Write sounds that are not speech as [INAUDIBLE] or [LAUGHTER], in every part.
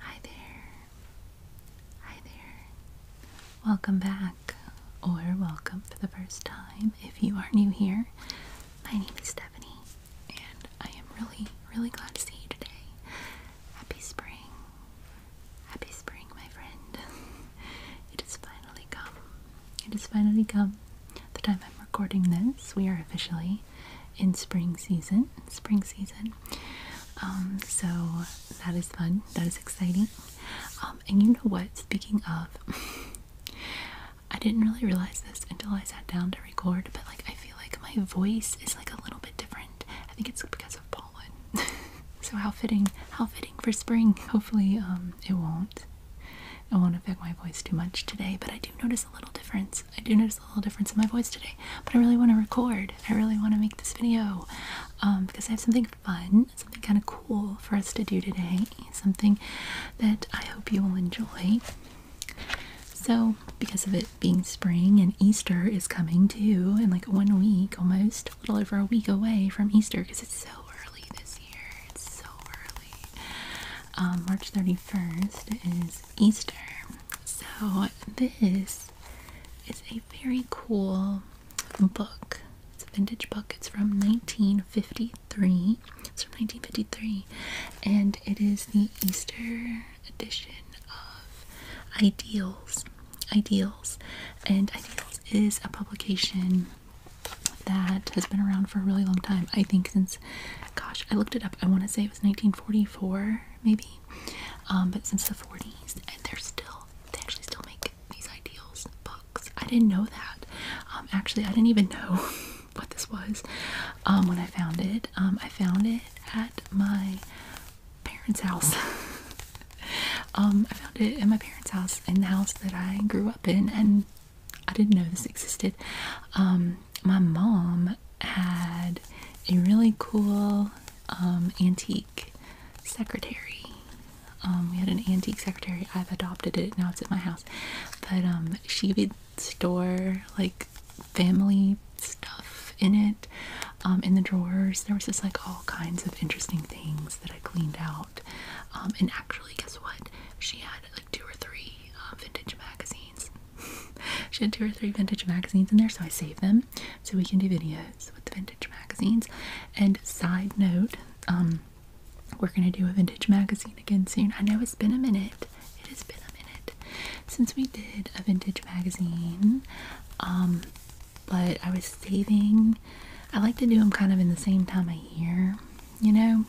Hi there. Hi there. Welcome back, or welcome for the first time if you are new here. My name is Stephanie, and I am really, really glad to see you today. Happy spring. Happy spring, my friend. [LAUGHS] It is finally come. It is finally come. The time I'm recording this, we are officially in spring season. Spring season. Um, so that is fun. That is exciting. Um, and you know what? Speaking of, [LAUGHS] I didn't really realize this until I sat down to record, but like I feel like my voice is like a little bit different. I think it's because of pollen. [LAUGHS] so how fitting, how fitting for spring. Hopefully, um, it won't. It won't affect my voice too much today, but I do notice a little difference I do notice a little difference in my voice today, but I really want to record. I really want to make this video um, because I have something fun, something kind of cool for us to do today, something that I hope you will enjoy. So, because of it being spring and Easter is coming too, in like one week almost, a little over a week away from Easter because it's so early this year. It's so early. Um, March 31st is Easter. So, this is a very cool book. It's a vintage book. It's from 1953. It's from 1953. And it is the Easter edition of Ideals. Ideals. And Ideals is a publication that has been around for a really long time. I think since, gosh, I looked it up. I want to say it was 1944, maybe. Um, but since the 40s, and they're still they actually still make these ideals books. I didn't know that. Um, actually, I didn't even know [LAUGHS] what this was um, when I found it. I found it at my parents' house. [LAUGHS] I found it at my parents' house in the house that I grew up in, and I didn't know this existed my mom had a really cool um, antique secretary. Um, we had an antique secretary. I've adopted it now; it's at my house. But um, she would store like family stuff in it. in the drawers, there was just like all kinds of interesting things that I cleaned out. and actually, guess what? She had like two or three uh, vintage magazines [LAUGHS] she had two or three vintage magazines in there, so I saved them so we can do videos with the vintage magazines. And side note, um, we're gonna do a vintage magazine again soon. I know it's been a minute. It has been a minute since we did a vintage magazine. Um, but I was saving. I like to do them kind of in the same time of year, you know,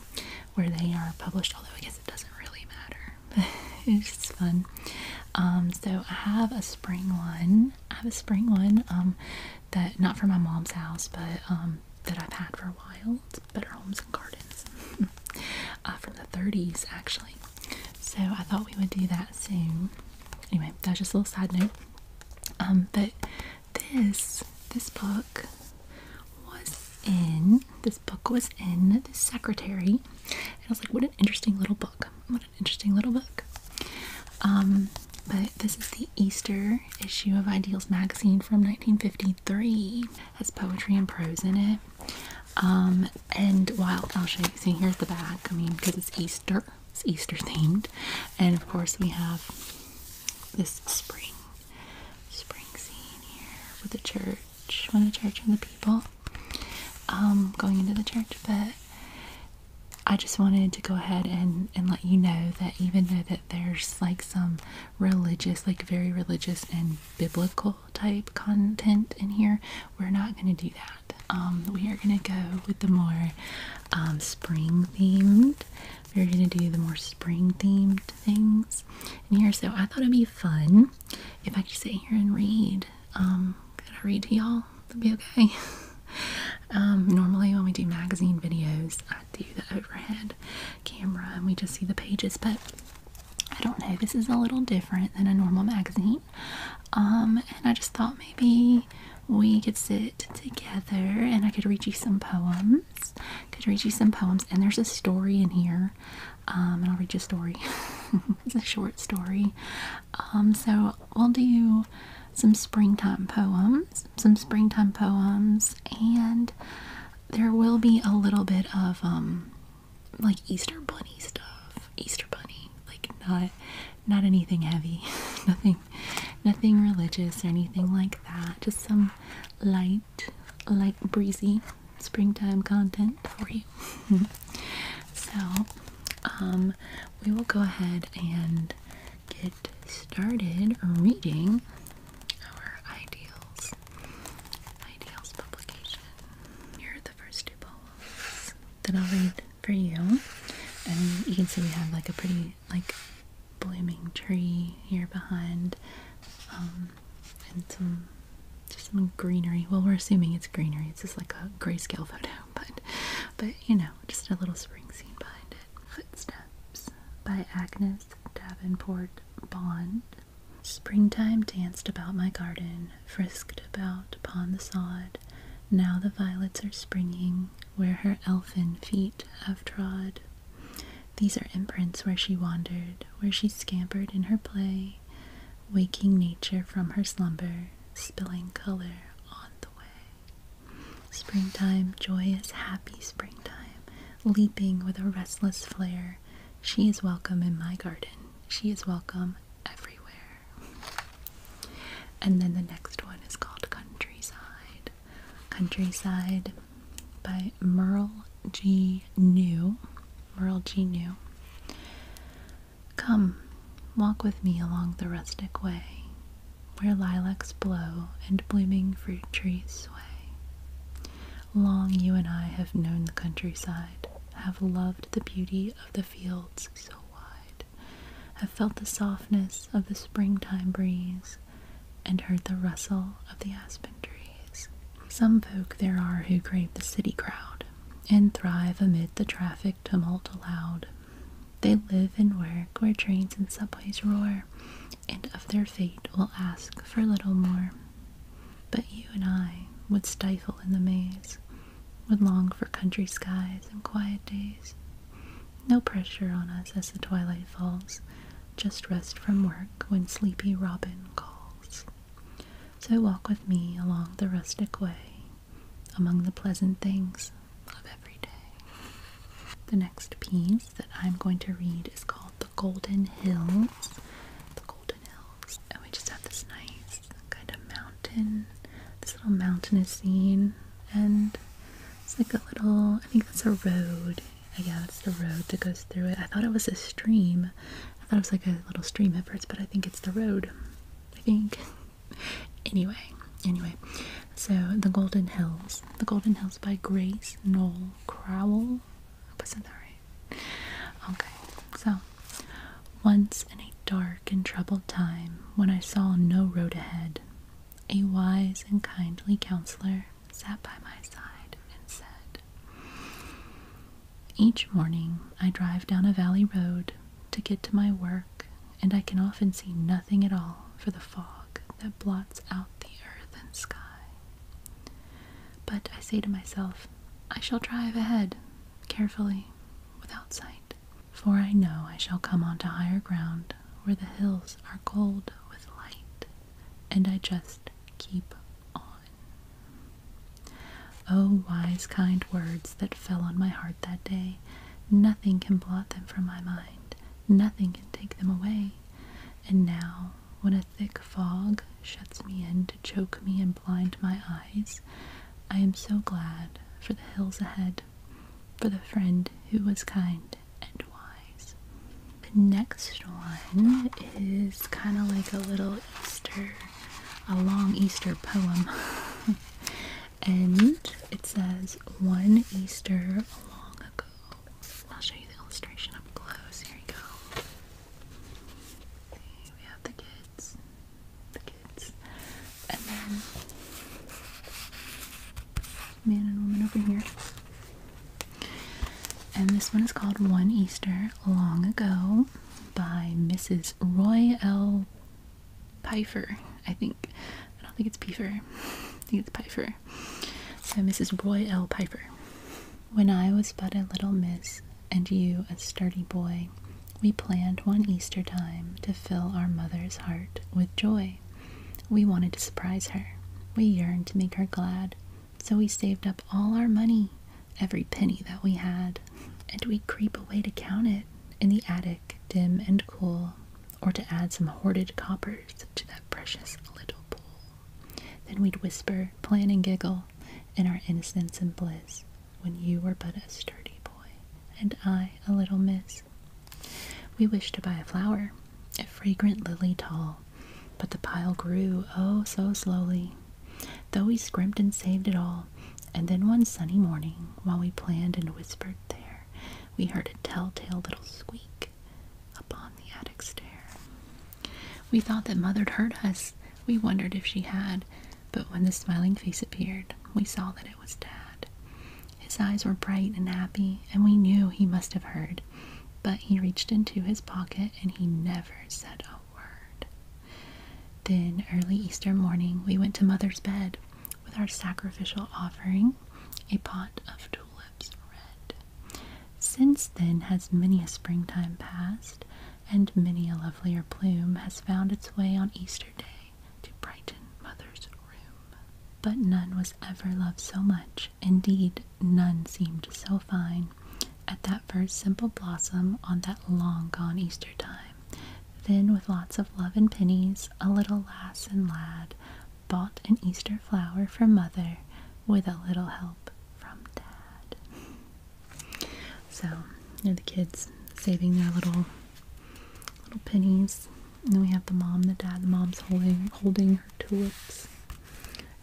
where they are published. Although I guess it doesn't really matter. [LAUGHS] it's just fun. Um, so I have a spring one. I have a spring one um, that not for my mom's house, but um, that I've had for a while. It's Better Homes and Gardens [LAUGHS] uh, from the 30s, actually. So I thought we would do that soon. Anyway, that's just a little sad note. but this this book was in this book was in The Secretary. And I was like, what an interesting little book. What an interesting little book. Um, but this is the Easter issue of Ideals magazine from 1953. It has poetry and prose in it. Um, and while I'll show you, see here's the back. I mean, because it's Easter, it's Easter themed. And of course, we have this spring, spring scene here with the church church, when the church and the people, um, going into the church. But I just wanted to go ahead and and let you know that even though that there's like some religious, like very religious and biblical type content in here, we're not going to do that. Um, we are going to go with the more um, spring themed. We're going to do the more spring themed things in here. So I thought it'd be fun if I could sit here and read, um, could I read to y'all? it would be okay. [LAUGHS] um, normally when we do magazine videos, I do the overhead camera and we just see the pages, but I don't know. This is a little different than a normal magazine. Um, and I just thought maybe we could sit together and I could read you some poems. Could read you some poems, and there's a story in here um, and I'll read you a story. [LAUGHS] it's a short story. Um, so we'll do some springtime poems, some springtime poems, and there will be a little bit of um, like Easter bunny stuff. Easter bunny, like not not anything heavy, [LAUGHS] nothing, nothing religious or anything like that. Just some light, light breezy springtime content for you. [LAUGHS] so, um, we will go ahead and get started reading our ideals. Ideals publication. Here are the first two poems that I'll read for you. And you can see we have like a pretty like blooming tree here behind. Um, and some just some greenery. Well, we're assuming it's greenery. It's just like a grayscale photo, [LAUGHS] but but you know, just a little spring scene behind it. Footsteps by Agnes Davenport Bond. Springtime danced about my garden, frisked about upon the sod. Now the violets are springing where her elfin feet have trod. These are imprints where she wandered, where she scampered in her play, waking nature from her slumber, spilling color on the way. Springtime, joyous, happy springtime, leaping with a restless flare, she is welcome in my garden. She is welcome everywhere. And then the next one is called Countryside. Countryside by Merle G. New, Merle G. New. Come, walk with me along the rustic way, where lilacs blow and blooming fruit trees sway. Long you and I have known the countryside, have loved the beauty of the fields so wide, have felt the softness of the springtime breeze, and heard the rustle of the aspen trees. Some folk there are who crave the city crowd and thrive amid the traffic tumult aloud. They live and work where trains and subways roar, and of their fate will ask for little more. But you and I would stifle in the maze, would long for country skies and quiet days. No pressure on us as the twilight falls, just rest from work when sleepy robin calls. So walk with me along the rustic way, among the pleasant things of every day. The next piece that I'm going to read is called The Golden Hills. The Golden Hills. And we just have this nice kind of mountain, this little mountainous scene. And it's like a little, I think that's a road. Yeah, it's the road that goes through it. I thought it was a stream, I thought it was like a little stream at first, but I think it's the road. I think. [LAUGHS] anyway, anyway. So The Golden Hills. The Golden Hills by Grace Noel Crowell. I hope I that right. Okay. So once in a dark and troubled time when I saw no road ahead, a wise and kindly counselor sat by my side and said, each morning I drive down a valley road to get to my work, and I can often see nothing at all for the fog that blots out the earth and sky. But I say to myself, I shall drive ahead, carefully, without sight, for I know I shall come onto higher ground where the hills are gold with light, and I just keep on. Oh, wise, kind words that fell on my heart that day! Nothing can blot them from my mind, nothing can take them away. And now, when a thick fog shuts me in to choke me and blind my eyes, I am so glad for the hills ahead, for the friend who was kind and wise. The next one is kind of like a little Easter a long Easter poem. [LAUGHS] and it says, One Easter long ago. I'll show you the illustration up close. Here you go. See, we have the kids. The kids. And then man and woman over here. And this one is called One Easter Long Ago by Mrs. Roy L. Pfeiffer, I think. I don't think it's Pifer. [LAUGHS] I think it's Pfeiffer. So Mrs. Roy L. Pfeiffer. When I was but a little miss and you a sturdy boy, we planned one Easter time to fill our mother's heart with joy. We wanted to surprise her. We yearned to make her glad. So we saved up all our money every penny that we had, and we'd creep away to count it in the attic, dim and cool, or to add some hoarded coppers to that precious little pool. Then we'd whisper, plan, and giggle in our innocence and bliss when you were but a sturdy boy and I a little miss. We wished to buy a flower, a fragrant lily tall, but the pile grew, oh, so slowly, though we scrimped and saved it all. And then one sunny morning, while we planned and whispered there, we heard a tell-tale little squeak upon the attic stair. We thought that Mother'd heard us. We wondered if she had, but when the smiling face appeared, we saw that it was Dad. His eyes were bright and happy, and we knew he must have heard. But he reached into his pocket and he never said a word word. Then, early Easter morning, we went to Mother's bed with our sacrificial offering, a pot of tulips red. Since then has many a springtime passed, and many a lovelier plume has found its way on Easter Day to brighten Mother's room. But none was ever loved so much, indeed, none seemed so fine at that first simple blossom on that long gone Easter time. Then, with lots of love and pennies, a little lass and lad bought an Easter flower for mother with a little help from dad. So, you know, the kids saving their little little pennies. And we have the mom, the dad, the mom's holding holding her tulips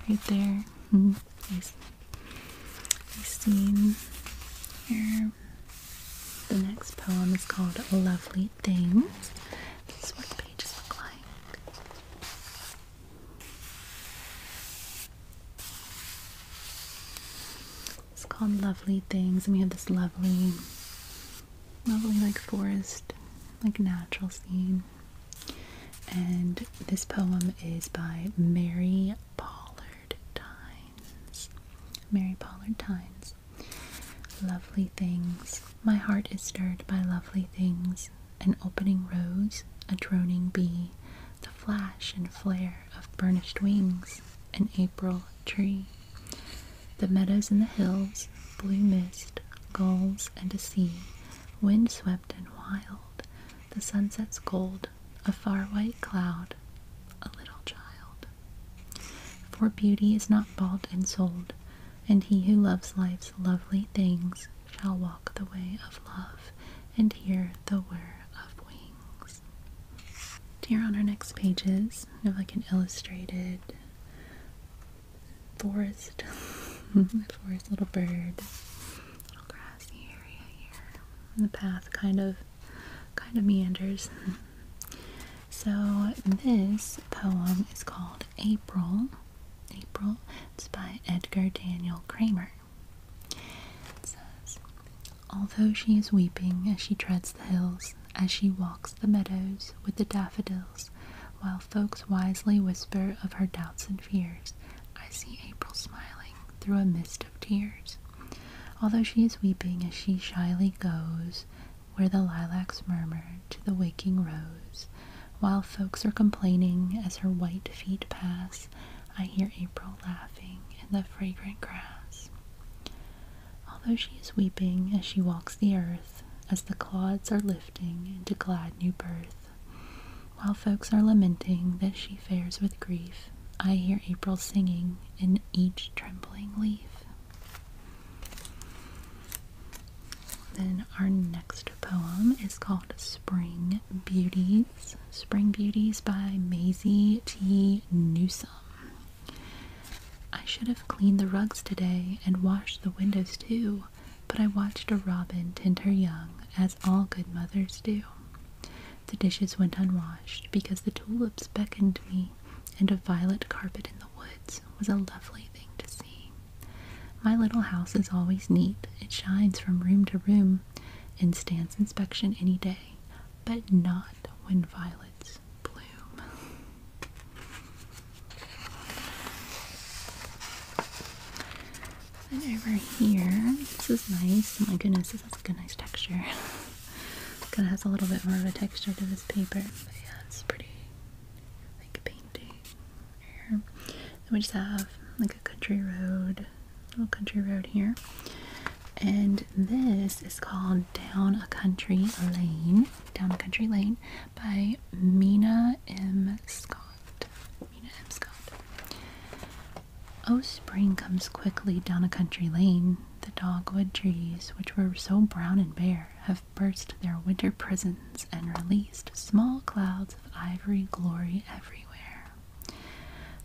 right there. Mm I seen here. The next poem is called Lovely Things. This is what the pages look like. It's called Lovely Things, and we have this lovely, lovely like forest, like natural scene. And this poem is by Mary Pollard Tynes. Mary Pollard Tynes. Lovely things. My heart is stirred by lovely things. An opening rose, a droning bee, the flash and flare of burnished wings, an April tree. The meadows and the hills, blue mist, gulls and a sea, wind swept and wild, the sunset's gold a far white cloud, a little child. For beauty is not bought and sold, and he who loves life's lovely things shall walk the way of love and hear the whir of wings. Here on our next pages, we have like an illustrated forest, [LAUGHS] forest little bird, little grass grassy area here. And the path kind of kind of meanders. so this poem is called April. April. It's by Edgar Daniel Kramer. It says, Although she is weeping as she treads the hills, as she walks the meadows with the daffodils, while folks wisely whisper of her doubts and fears, I see April smiling through a mist of tears. Although she is weeping as she shyly goes where the lilacs murmur to the waking rose, while folks are complaining as her white feet pass, I hear April laughing in the fragrant grass. Although she is weeping as she walks the earth, as the clods are lifting into glad new birth, while folks are lamenting that she fares with grief, I hear April singing in each trembling leaf. Then our next poem is called Spring Beauties. Spring Beauties by Maisie T. Newsom. I should have cleaned the rugs today and washed the windows too, but I watched a robin tend her young, as all good mothers do. The dishes went unwashed because the tulips beckoned me, and a violet carpet in the woods was a lovely thing to see. My little house is always neat. It shines from room to room and stands inspection any day, but not when violets bloom over here, this is nice. Oh my goodness, this has like a nice texture. it kind of has a little bit more of a texture to this paper. But yeah, it's pretty like painting. Here. we just have like a country road, little country road here. And this is called Down a Country Lane. Down a Country Lane by Mina M. Scott. Mina Hemscott. Oh, spring comes quickly down a country lane. The dogwood trees, which were so brown and bare, have burst their winter prisons and released small clouds of ivory glory everywhere.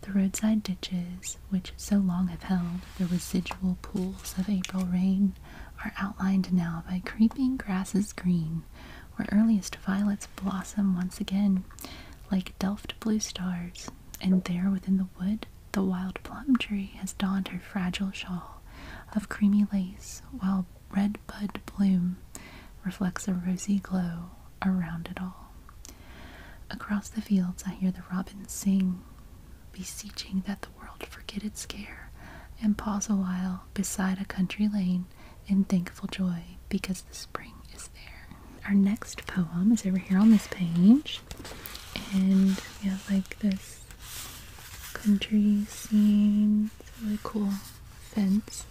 The roadside ditches, which so long have held the residual pools of April rain, are outlined now by creeping grasses green, where earliest violets blossom once again, like delft blue stars, and there within the wood the wild plum tree has donned her fragile shawl of creamy lace, while red bud bloom reflects a rosy glow around it all. Across the fields I hear the robins sing, beseeching that the world forget its care and pause awhile beside a country lane in thankful joy because the spring is there. Our next poem is over here on this page, and we have like this country scene, it's really cool fence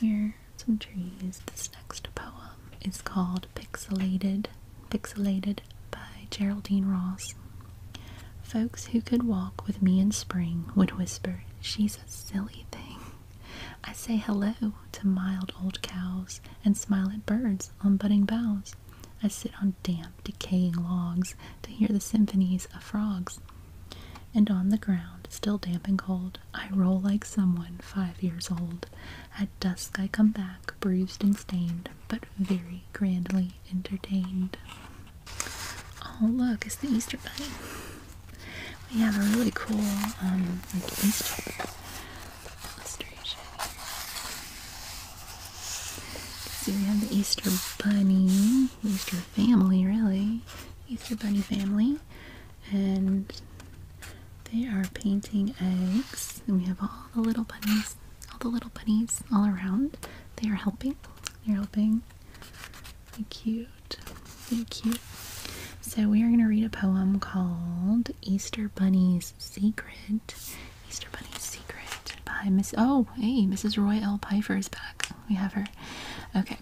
here, some trees. This next poem is called Pixelated, Pixelated by Geraldine Ross. Folks who could walk with me in spring would whisper, She's a silly thing. I say hello to mild old cows and smile at birds on budding boughs. I sit on damp, decaying logs to hear the symphonies of frogs. And on the ground, still damp and cold, I roll like someone five years old. At dusk I come back, bruised and stained, but very grandly entertained. Oh, look, it's the Easter Bunny. We have a really cool um, Easter illustration. See, we have the Easter bunny, Easter family, really, Easter bunny family, and they are painting eggs. And we have all the little bunnies, all the little bunnies all around. They are helping. They're helping Thank you. Thank you. So we are going to read a poem called Easter Bunny's Secret. Easter Bunny's Secret by Miss Oh, hey, Mrs. Roy L. Piper is back. We have her. Okay.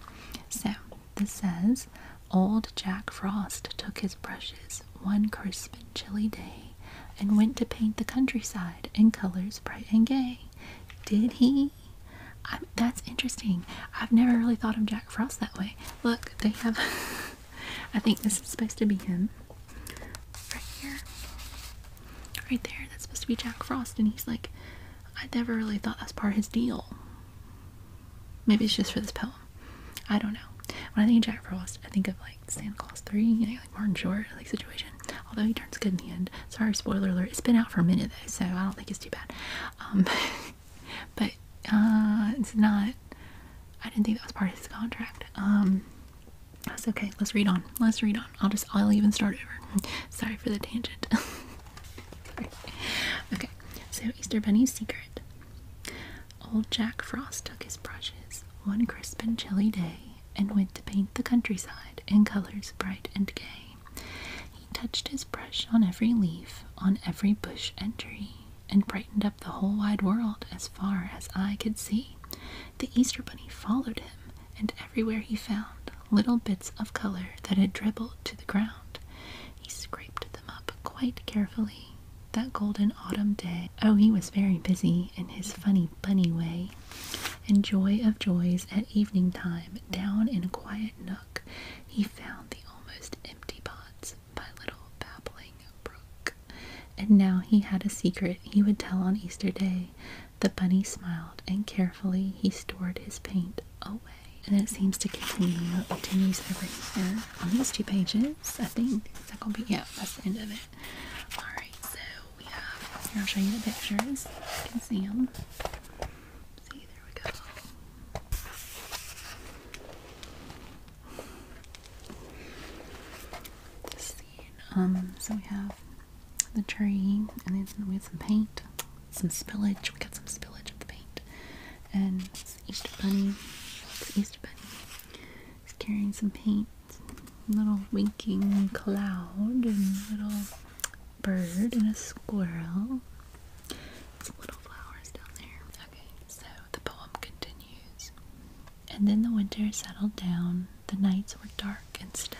So this says Old Jack Frost took his brushes one crisp and chilly day and went to paint the countryside in colors bright and gay. Did he? that's interesting. I've never really thought of Jack." Jack Frost that way. Look, they have. [LAUGHS] I think this is supposed to be him. Right here. Right there. That's supposed to be Jack Frost. And he's like, I never really thought that's part of his deal. Maybe it's just for this poem. I don't know. When I think of Jack Frost, I think of like Santa Claus 3, and like Martin Short, like situation. Although he turns good in the end. Sorry, spoiler alert. It's been out for a minute though, so I don't think it's too bad. Um, [LAUGHS] but uh, it's not. I didn't think that was part of his contract. Um, that's okay. Let's read on. Let's read on. I'll just. I'll even start over. Sorry for the tangent. Sorry. [LAUGHS] Okay. So Easter Bunny's secret. Old Jack Frost took his brushes one crisp and chilly day and went to paint the countryside in colors bright and gay. He touched his brush on every leaf, on every bush and tree, and brightened up the whole wide world as far as eye could see. The Easter Bunny followed him, and everywhere he found little bits of color that had dribbled to the ground. He scraped them up quite carefully. That golden autumn day. Oh, he was very busy in his funny bunny way. And joy of joys at evening time, down in a quiet nook, he found the almost empty pot by little babbling brook. And now he had a secret he would tell on Easter Day. The bunny smiled, and carefully he stored his paint away. And it seems to continue. continues over here on these two pages. I think is that gonna be yeah, that's the end of it. Alright, so we have here I'll show you the pictures. You can see them. See, there we go. Um, so we have the tree, and then we have some paint, some spillage. We got some spillage of the paint, and Easter Bunny. It's Easter Bunny. He's carrying some paint, little winking cloud, and little bird, and a squirrel. Some little flowers down there. Okay, so the poem continues. And then the winter settled down. The nights were dark and still.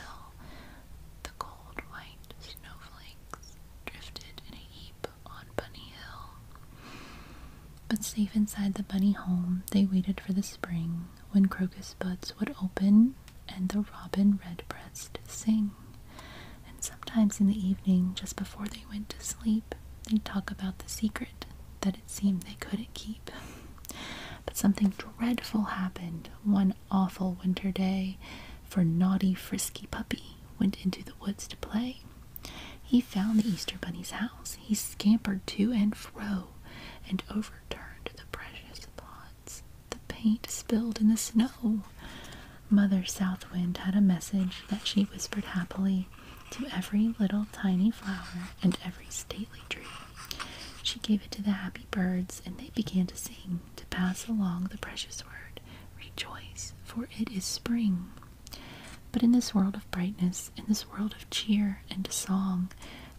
The cold white snowflakes drifted in a heap on Bunny Hill. But safe inside the bunny home, they waited for the spring when crocus buds would open and the robin redbreast sing. And sometimes in the evening, just before they went to sleep, they'd talk about the secret that it seemed they couldn't keep. But something dreadful happened one awful winter day, for naughty frisky puppy went into the woods to play. He found the Easter Bunny's house. He scampered to and fro and overturned the precious pots. The paint spilled in the snow. Mother South Wind had a message that she whispered happily to every little tiny flower and every stately tree. She gave it to the happy birds, and they began to sing, to pass along the precious word, Rejoice, for it is spring. But in this world of brightness, in this world of cheer and song,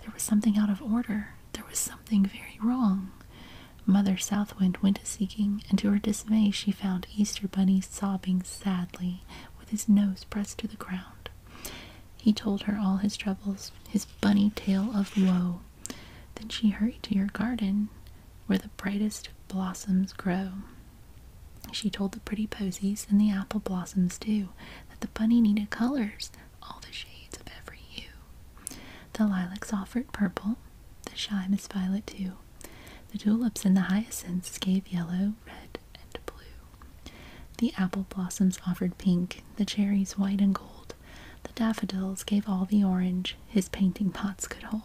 there was something out of order. There was something very wrong. Mother Southwind went a seeking, and to her dismay she found Easter Bunny sobbing sadly, with his nose pressed to the ground. He told her all his troubles, his bunny tale of woe. Then she hurried to your garden, where the brightest blossoms grow. She told the pretty posies and the apple blossoms too that the bunny needed colors, all the shades of every hue. The lilacs offered purple, the shy Miss Violet too the tulips and the hyacinths gave yellow, red, and blue. The apple blossoms offered pink, the cherries white and gold. The daffodils gave all the orange his painting pots could hold.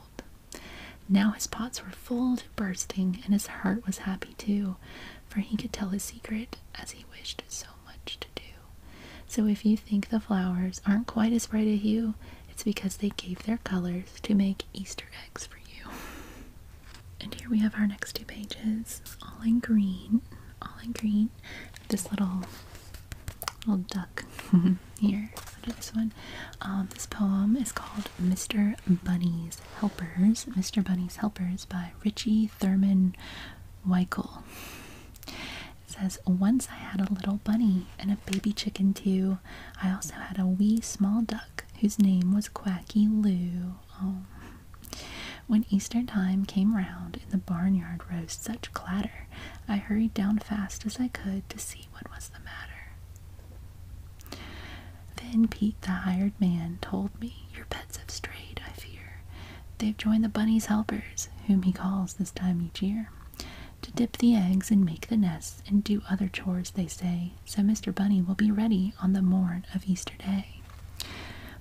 Now his pots were full to bursting, and his heart was happy too, for he could tell his secret as he wished so much to do. So if you think the flowers aren't quite as bright a hue it's because they gave their colors to make Easter eggs for you. And here we have our next two pages, all in green, all in green. This little little duck [LAUGHS] here under this one. Um, this poem is called Mr. Bunny's Helpers. Mr. Bunny's Helpers by Richie Thurman Weichel. It says, Once I had a little bunny and a baby chicken too. I also had a wee small duck whose name was Quacky Lou. Oh. When Easter time came round in the barnyard rose such clatter, I hurried down fast as I could to see what was the matter. Then Pete, the hired man, told me, Your pets have strayed, I fear. They've joined the bunny's helpers, whom he calls this time each year to dip the eggs and make the nests and do other chores, they say, so Mr. Bunny will be ready on the morn of Easter Day.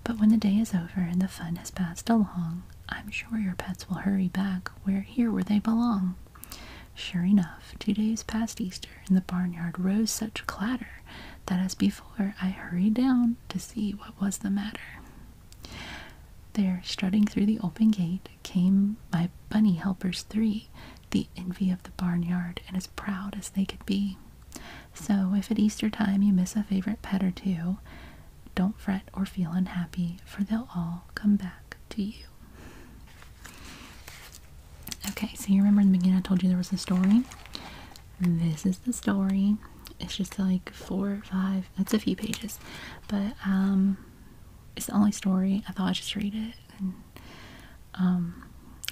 But when the day is over and the fun has passed along, I'm sure your pets will hurry back where here where they belong. Sure enough, two days past Easter in the barnyard rose such clatter that as before I hurried down to see what was the matter. There, strutting through the open gate, came my bunny helpers three, the envy of the barnyard, and as proud as they could be. So, if at Easter time you miss a favorite pet or two, don't fret or feel unhappy, for they'll all come back to you. Okay, so you remember in the beginning I told you there was a story? This is the story. It's just like four or five, That's a few pages, but um, it's the only story. I thought I'd just read it. um,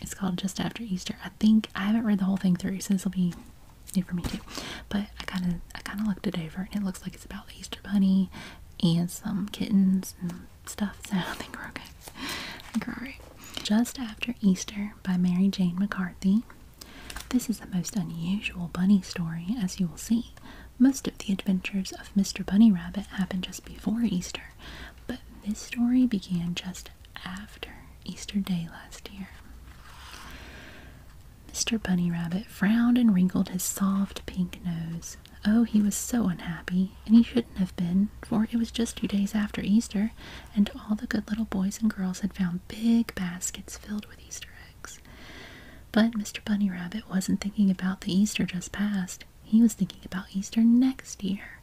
it's called Just After Easter. I think I haven't read the whole thing through, so this will be new for me too. But I kind of I kind of looked it over, and it looks like it's about the Easter Bunny and some kittens and stuff. So [LAUGHS] I think we're okay. I Just After Easter by Mary Jane McCarthy. This is the most unusual bunny story, as you will see. Most of the adventures of Mr. Bunny Rabbit happened just before Easter, but this story began just after Easter Day last year. Mr. Bunny Rabbit frowned and wrinkled his soft pink nose. Oh, he was so unhappy, and he shouldn't have been, for it was just two days after Easter, and all the good little boys and girls had found big baskets filled with Easter eggs. But Mr. Bunny Rabbit wasn't thinking about the Easter just past. He was thinking about Easter next year.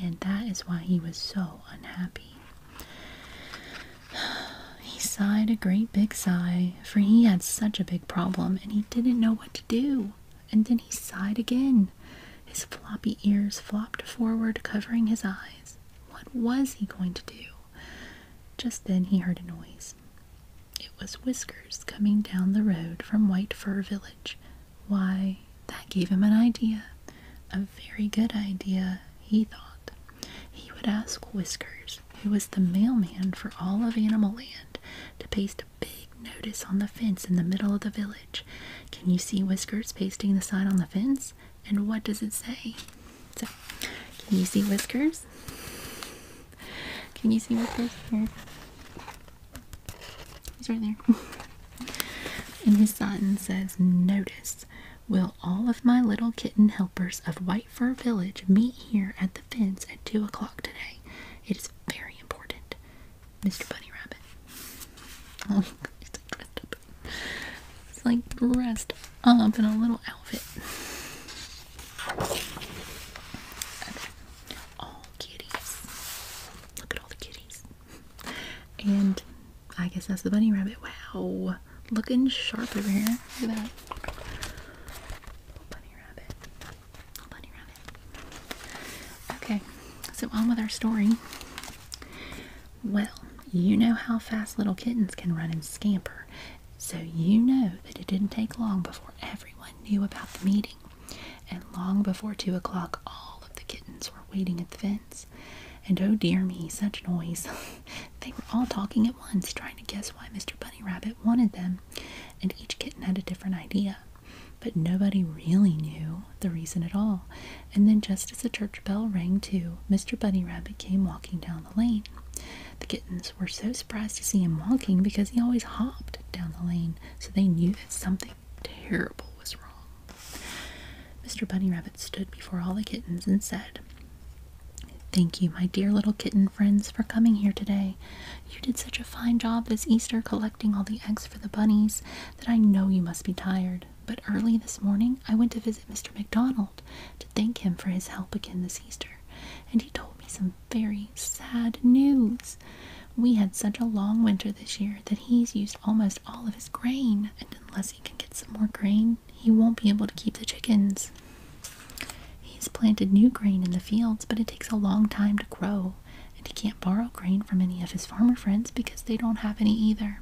And that is why he was so unhappy. [SIGHS] He sighed a great big sigh, for he had such a big problem and he didn't know what to do. And then he sighed again. His floppy ears flopped forward, covering his eyes. What was he going to do? Just then he heard a noise. It was Whiskers coming down the road from White Fur Village. Why, that gave him an idea. A very good idea, he thought. He would ask Whiskers, who was the mailman for all of Animal Land, to paste a big notice on the fence in the middle of the village. Can you see Whiskers pasting the sign on the fence? And what does it say? can you see Whiskers? Can you see what this here? He's right there. [LAUGHS] and his sign says, Notice, will all of my little kitten helpers of White Fur Village meet here at the fence at 2 o'clock today? It is very important. Mr. Bunny Rabbit. [LAUGHS] Oh, he's like dressed up. He's like dressed up in a little outfit. [LAUGHS] all kitties. Look at all the kitties. And I guess that's the bunny rabbit. Wow. Looking sharp over here. Look at that. Bunny rabbit. Bunny rabbit. Okay. So on with our story. Well, you know how fast little kittens can run and scamper. So you know that it didn't take long before everyone knew about the meeting, and long before two o'clock, all of the kittens were waiting at the fence. And oh dear me, such noise! [LAUGHS] they were all talking at once, trying to guess why Mr. Bunny Rabbit wanted them, and each kitten had a different idea. But nobody really knew the reason at all. And then, just as the church bell rang too, Mr. Bunny Rabbit came walking down the lane. The kittens were so surprised to see him walking because he always hopped down the lane, so they knew that something terrible was wrong. Mr. Bunny Rabbit stood before all the kittens and said, Thank you, my dear little kitten friends, for coming here today. You did such a fine job this Easter collecting all the eggs for the bunnies that I know you must be tired. But early this morning, I went to visit Mr. McDonald to thank him for his help again this Easter, and he told me some very sad news. We had such a long winter this year that he's used almost all of his grain, and unless he can get some more grain, he won't be able to keep the chickens. He's planted new grain in the fields, but it takes a long time to grow, and he can't borrow grain from any of his farmer friends because they don't have any either.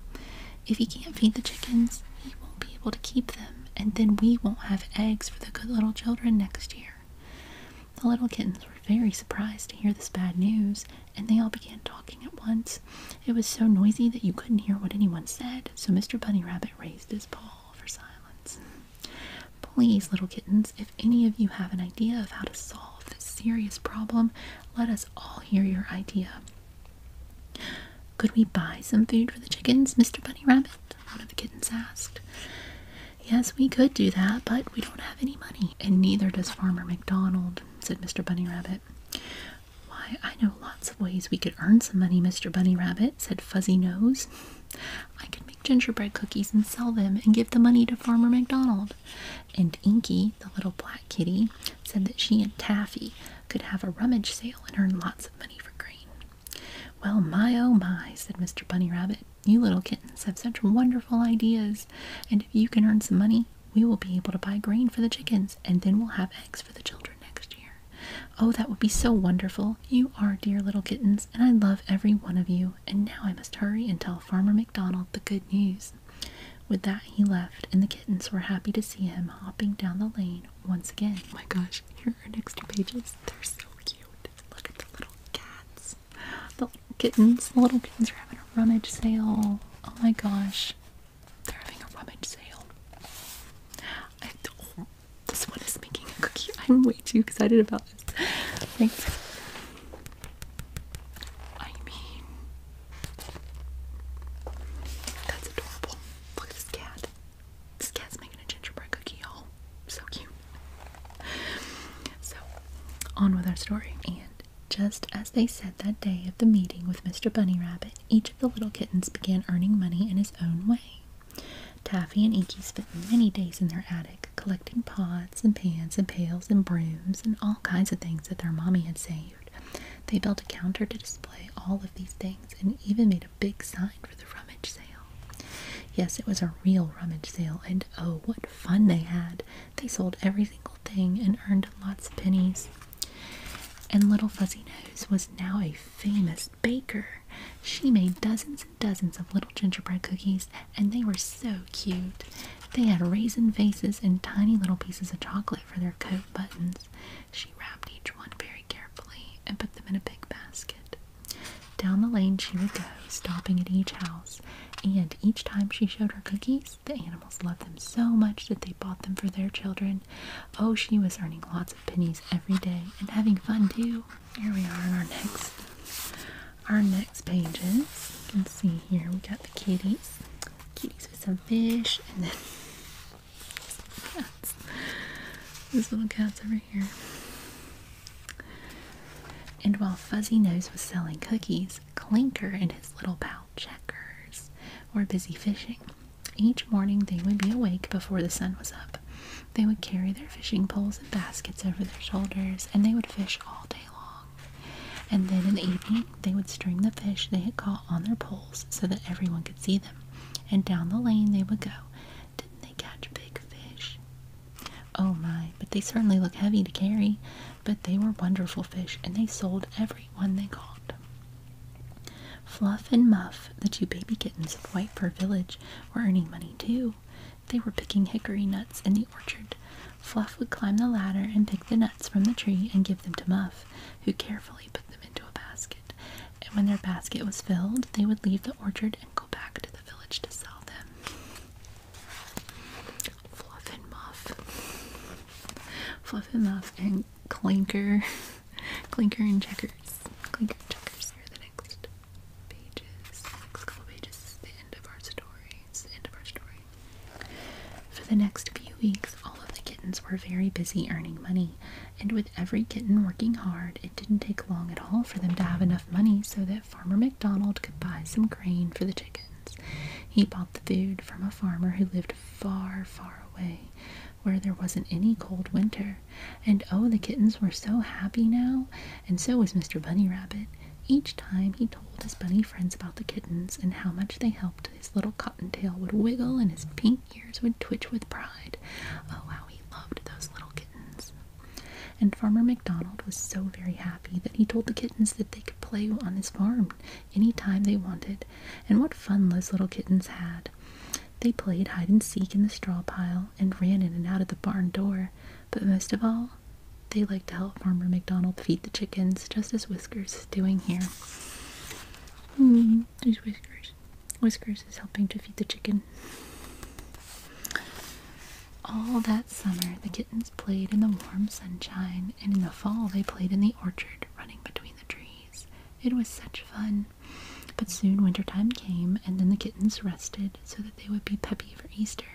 If he can't feed the chickens, he won't be able to keep them, and then we won't have eggs for the good little children next year. The little kittens were very surprised to hear this bad news, and they all began talking at once. It was so noisy that you couldn't hear what anyone said, so Mr. Bunny Rabbit raised his paw for silence. Please, little kittens, if any of you have an idea of how to solve this serious problem, let us all hear your idea. Could we buy some food for the chickens, Mr. Bunny Rabbit? One of the kittens asked. Yes, we could do that, but we don't have any money. And neither does Farmer McDonald, said Mr. Bunny Rabbit. Why, I know lots of ways we could earn some money, Mr. Bunny Rabbit, said Fuzzy Nose. I could make gingerbread cookies and sell them and give the money to Farmer McDonald. And Inky, the little black kitty, said that she and Taffy could have a rummage sale and earn lots of money for green. Well, my oh my, said Mr. Bunny Rabbit, you little kittens have such wonderful ideas, and if you can earn some money, we will be able to buy grain for the chickens, and then we'll have eggs for the children next year. Oh, that would be so wonderful. You are dear little kittens, and I love every one of you. And now I must hurry and tell Farmer McDonald the good news. With that, he left, and the kittens were happy to see him hopping down the lane once again. Oh my gosh, here next two pages. They're so cute. Look at the little cats. The little kittens. The little kittens are having a rummage sale. Oh my gosh. They're having a rummage sale. I, this one is making a cookie. [LAUGHS] I'm way too excited about this. I mean, that's adorable. Look at this cat. This cat's making a gingerbread cookie, y'all. So cute. So, on with our story. And just as they said that day of the meeting with Mr. Bunny Rabbit, each of the little kittens began earning money in his own way. Taffy and Inky spent many days in their attic collecting pots and pans and pails and brooms and all kinds of things that their mommy had saved. They built a counter to display all of these things and even made a big sign for the rummage sale. Yes, it was a real rummage sale, and oh, what fun they had! They sold every single thing and earned lots of pennies. And Little Fuzzy Nose was now a famous baker. She made dozens and dozens of little gingerbread cookies, and they were so cute. They had raisin faces and tiny little pieces of chocolate for their coat buttons. She wrapped each one very carefully and put them in a big basket. Down the lane she would go, stopping at each house, and each time she showed her cookies, the animals loved them so much that they bought them for their children. Oh, she was earning lots of pennies every day and having fun too. Here we are in our next our next pages. You can see here we got the kitties. Kitties with some fish and then [LAUGHS] cats. There's little cats over and while Fuzzy Nose was selling cookies, Clinker and his little pal Checkers were busy fishing. Each morning they would be awake before the sun was up. They would carry their fishing poles and baskets over their shoulders, and they would fish all day long. And then in the evening, they would string the fish they had caught on their poles so that everyone could see them. And down the lane they would go, didn't they catch big fish? Oh my, but they certainly look heavy to carry. But they were wonderful fish, and they sold every one they caught. Fluff and Muff, the two baby kittens of White Fur Village, were earning money too. They were picking hickory nuts in the orchard. Fluff would climb the ladder and pick the nuts from the tree and give them to Muff, who carefully put them into a basket. And when their basket was filled, they would leave the orchard go back to the village to sell them. Fluff Muff. Fluff Muff and Clinker. [LAUGHS] Clinker and Checkers. Clinker Checkers are the next pages. next couple pages the end of our story. the end of our story. For the next few weeks, all of the kittens were very busy earning money, and with every kitten working hard, it didn't take long at all for them to have enough money so that Farmer McDonald could buy some grain for the chickens. He bought the food from a farmer who lived far, far away, where there wasn't any cold winter. And oh, the kittens were so happy now, and so was Mr. Bunny Rabbit. Each time he told his bunny friends about the kittens and how much they helped, his little cottontail would wiggle and his pink ears would twitch with pride. Oh, how he loved those little kittens. And Farmer MacDonald was so very happy that he told the kittens that they could play on his farm any time they wanted. And what fun those little kittens had! They played hide and seek in the straw pile and ran in and out of the barn door. But most of all, they liked to help Farmer MacDonald feed the chickens, just as Whiskers is doing here. Hmm. there's Whiskers. Whiskers is helping to feed the chicken. All that summer, the kittens played in the warm sunshine, and in the fall, they played in the orchard, running between the trees. It was such fun. But soon wintertime came, and then the kittens rested so that they would be peppy for Easter,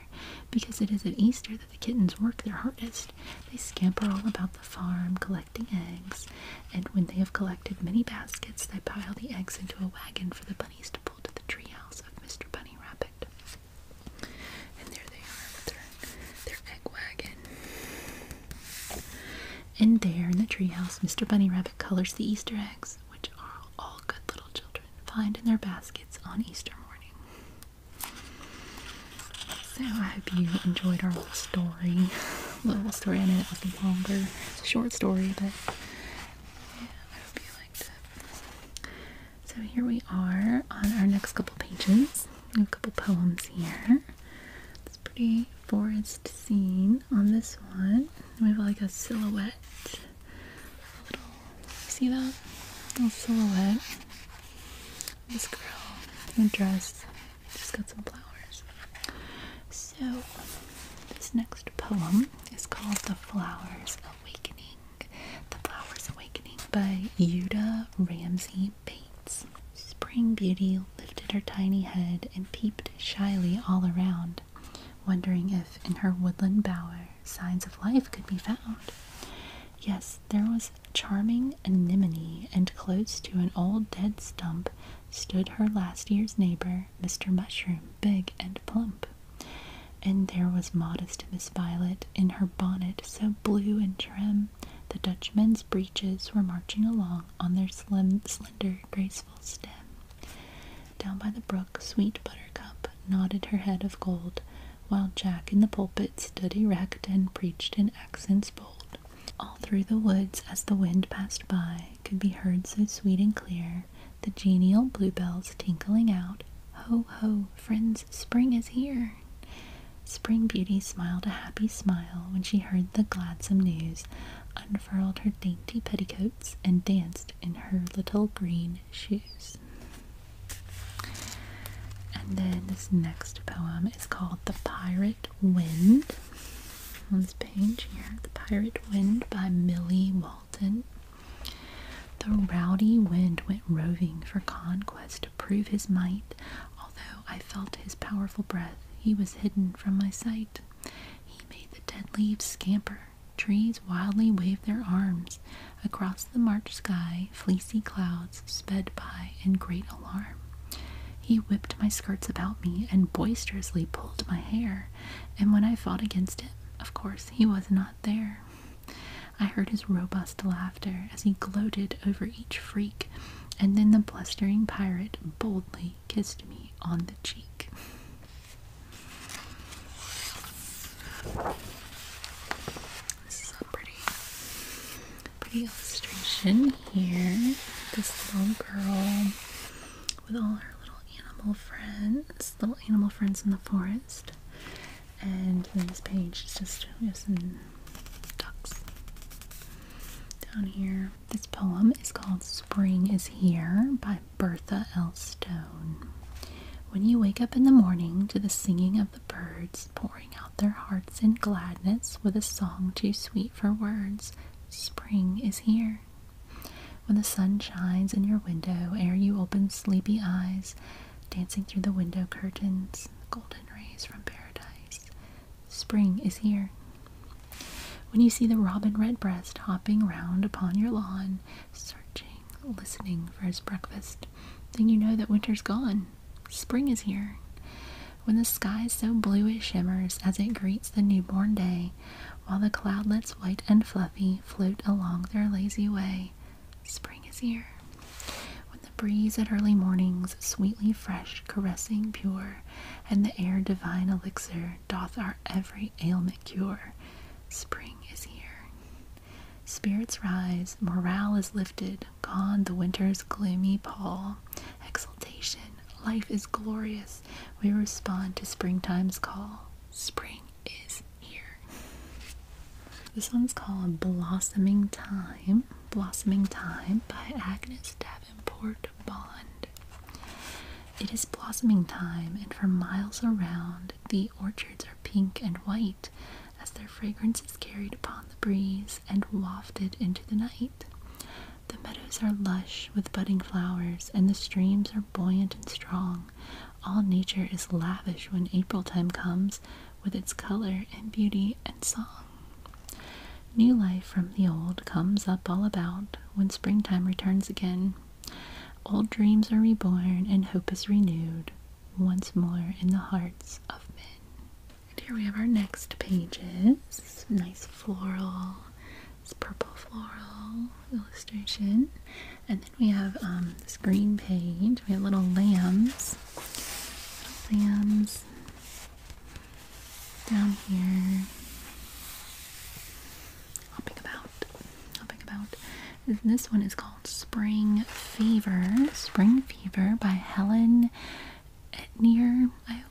because it is at Easter that the kittens work their hardest. They scamper all about the farm, collecting eggs, and when they have collected many baskets, they pile the eggs into a wagon for the bunnies to the treehouse of Mr. Bunny Rabbit. And there they are with their, egg wagon. And there in the treehouse, Mr. Bunny Rabbit colors the Easter eggs, which are all good little children find in their baskets on Easter morning. So I hope you enjoyed our little story. Little story, I know that was longer. It's a short story, but yeah, I hope you so here we are on our next couple pages. A couple poems here. It's pretty forest scene on this one. We have like a silhouette. little see that? little silhouette. This girl in a dress. just got some flowers. So, this next poem is called The Flower's Awakening. The Flower's Awakening by Yuda Ramsey Bates. Spring Beauty lifted her tiny head and peeped shyly all around, wondering if in her woodland bower signs of life could be found. Yes, there was charming anemone, and close to an old dead stump stood her last year's neighbor, Mr. Mushroom, big and plump. And there was modest Miss Violet in her bonnet so blue and trim. The Dutchman's breeches were marching along on their slender, graceful step. Down by the brook, sweet Buttercup nodded her head of gold, while Jack in the pulpit stood erect and preached in accents bold. All through the woods, as the wind passed by, could be heard so sweet and clear the genial bluebells tinkling out, Ho, ho, friends, spring is here. Spring Beauty smiled a happy smile when she heard the gladsome news, unfurled her dainty petticoats, and danced in her little green shoes. And then this next poem is called The Pirate Wind. On this page here, The Pirate Wind by Millie Wall. Walton. The rowdy wind went roving for conquest to prove his might. Although I felt his powerful breath, he was hidden from my sight. He made the dead leaves scamper. Trees wildly waved their arms. Across the March sky, fleecy clouds sped by in great alarm. He whipped my skirts about me and boisterously pulled my hair, and when I fought against him of course, he was not there. I heard his robust laughter as he gloated over each freak, and then the blustering pirate boldly kissed me on the cheek. This is a pretty, pretty illustration here. This little girl with all her little animal friends little animal friends in the forest. And then this page is just, just ducks. Down here, this poem is called Spring is Here by Bertha L. Stone. When you wake up in the morning to the singing of the birds, pouring out their hearts in gladness with a song too sweet for words, spring is here. When the sun shines in your window, ere you open sleepy eyes, dancing through the window curtains, golden rays from paradise, spring is here. When you see the robin redbreast hopping round upon your lawn, searching, listening for his breakfast, then you know that winter's gone. Spring is here. When the sky's so blue it shimmers as it greets the newborn day, while the cloudlets, white and fluffy, float along their lazy way. Spring is here. When the breeze at early mornings, sweetly fresh, caressing, pure, and the air divine elixir doth our every ailment cure. Spring is here. Spirits rise, morale is lifted, gone the winter's gloomy pall. Exultation, life is glorious, we respond to springtime's call. Spring is here. This one's called Blossoming Time. Blossoming Time by Agnes Davenport Bond. It is blossoming time, and for miles around, the orchards are pink and white as their fragrance is carried upon the breeze and wafted into the night. The meadows are lush with budding flowers, and the streams are buoyant and strong all nature is lavish when April time comes with its color and beauty and song. New life from the old comes up all about when springtime returns again. Old dreams are reborn and hope is renewed once more in the hearts of men. And here we have our next pages. Nice floral this purple floral illustration. And then we have um, this green page. We have little lambs. Little lambs down here. Hopping about. Hopping about. this one is called Spring Fever. Spring Fever by Helen Etnier, I hope.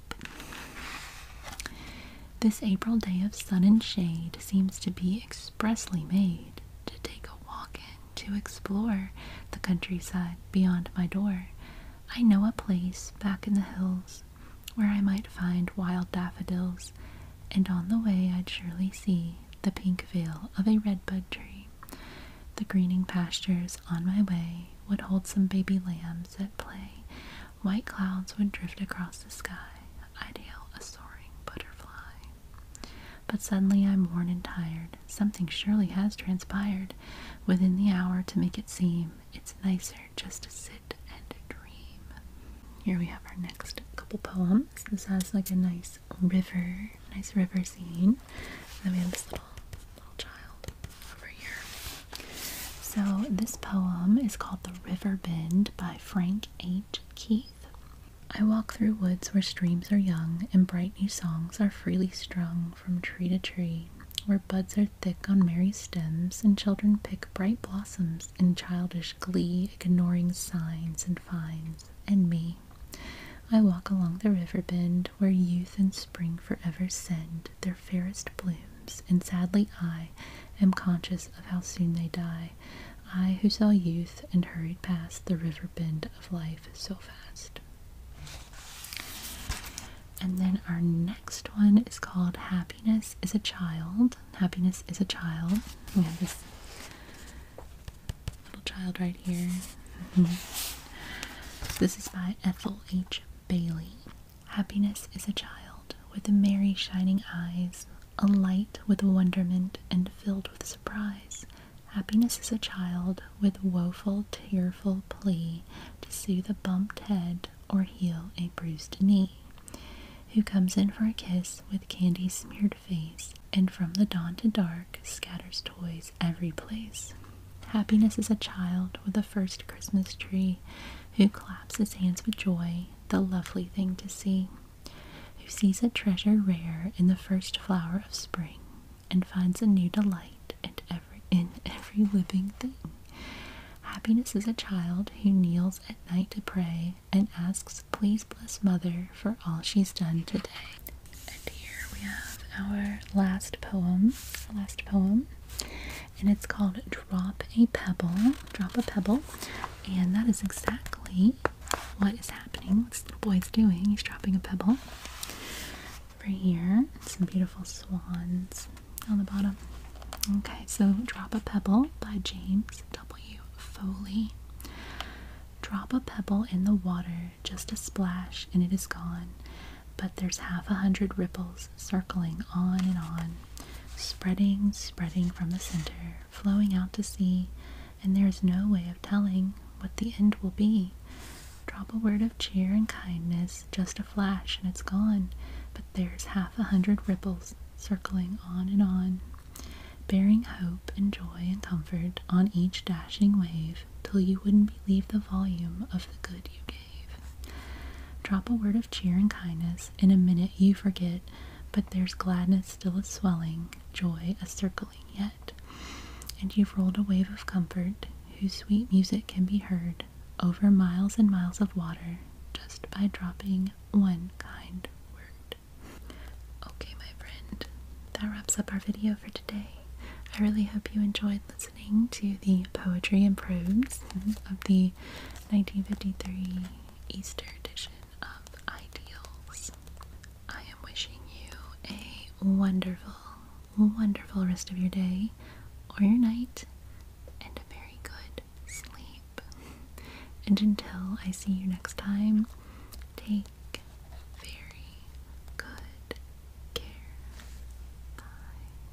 This April day of sun and shade seems to be expressly made to take a walk in, to explore the countryside beyond my door. I know a place back in the hills where I might find wild daffodils, and on the way I'd surely see the pink veil of a redbud tree. The greening pastures on my way would hold some baby lambs at play, White clouds would drift across the sky. ideal a soaring butterfly. But suddenly I'm worn and tired. Something surely has transpired within the hour to make it seem it's nicer just to sit and dream. Here we have our next couple poems. This has like a nice river, nice river scene. then we have this little little child over here. So this poem is called The River Bend by Frank H. H. Keith. I walk through woods where streams are young and bright new songs are freely strung from tree to tree, where buds are thick on merry stems and children pick bright blossoms in childish glee, ignoring signs and fines and me. I walk along the river bend where youth and spring forever send their fairest blooms, and sadly I am conscious of how soon they die. I who saw youth and hurried past the river bend of life so fast. And then our next one is called Happiness is a Child. Happiness is a Child. We have this little child right here. Mm-hmm. This is by Ethel H. Bailey. Happiness is a child with the merry shining eyes, alight with wonderment and filled with surprise. Happiness is a child with woeful, tearful plea to soothe a bumped head or heal a bruised knee. Who comes in for a kiss with candy smeared face and from the dawn to dark scatters toys every place. Happiness is a child with the first Christmas tree who claps his hands with joy, the lovely thing to see who sees a treasure rare in the first flower of spring and finds a new delight in every, in every living thing. Happiness is a child who kneels at night to pray and asks, Please bless Mother for all she's done today. And here we have our last poem, our last poem, and it's called drop a pebble, drop a pebble, and that is exactly what is happening. What's the boy's doing? He's dropping a pebble. right here, some beautiful swans on the bottom. Okay, so Drop a Pebble by James W. Foley. Drop a pebble in the water, just a splash, and it is gone. But there's half a hundred ripples circling on and on, spreading, spreading from the center, flowing out to sea, and there is no way of telling what the end will be. Drop a word of cheer and kindness, just a flash, and it's gone. But there's half a hundred ripples circling on and on, bearing hope and joy and comfort on each dashing wave till you wouldn't believe the volume of the good you gave. Drop a word of cheer and kindness, in a minute you forget, but there's gladness still a swelling, joy a circling yet. And you've rolled a wave of comfort, whose sweet music can be heard over miles and miles of water just by dropping one kind word. Okay, my friend, that wraps up our video for today. I really hope you enjoyed listening to the poetry and prose of the 1953 Easter edition of ideals. I am wishing you a wonderful, wonderful rest of your day or your night and a very good sleep. And until I see you next time, take very good care. Bye.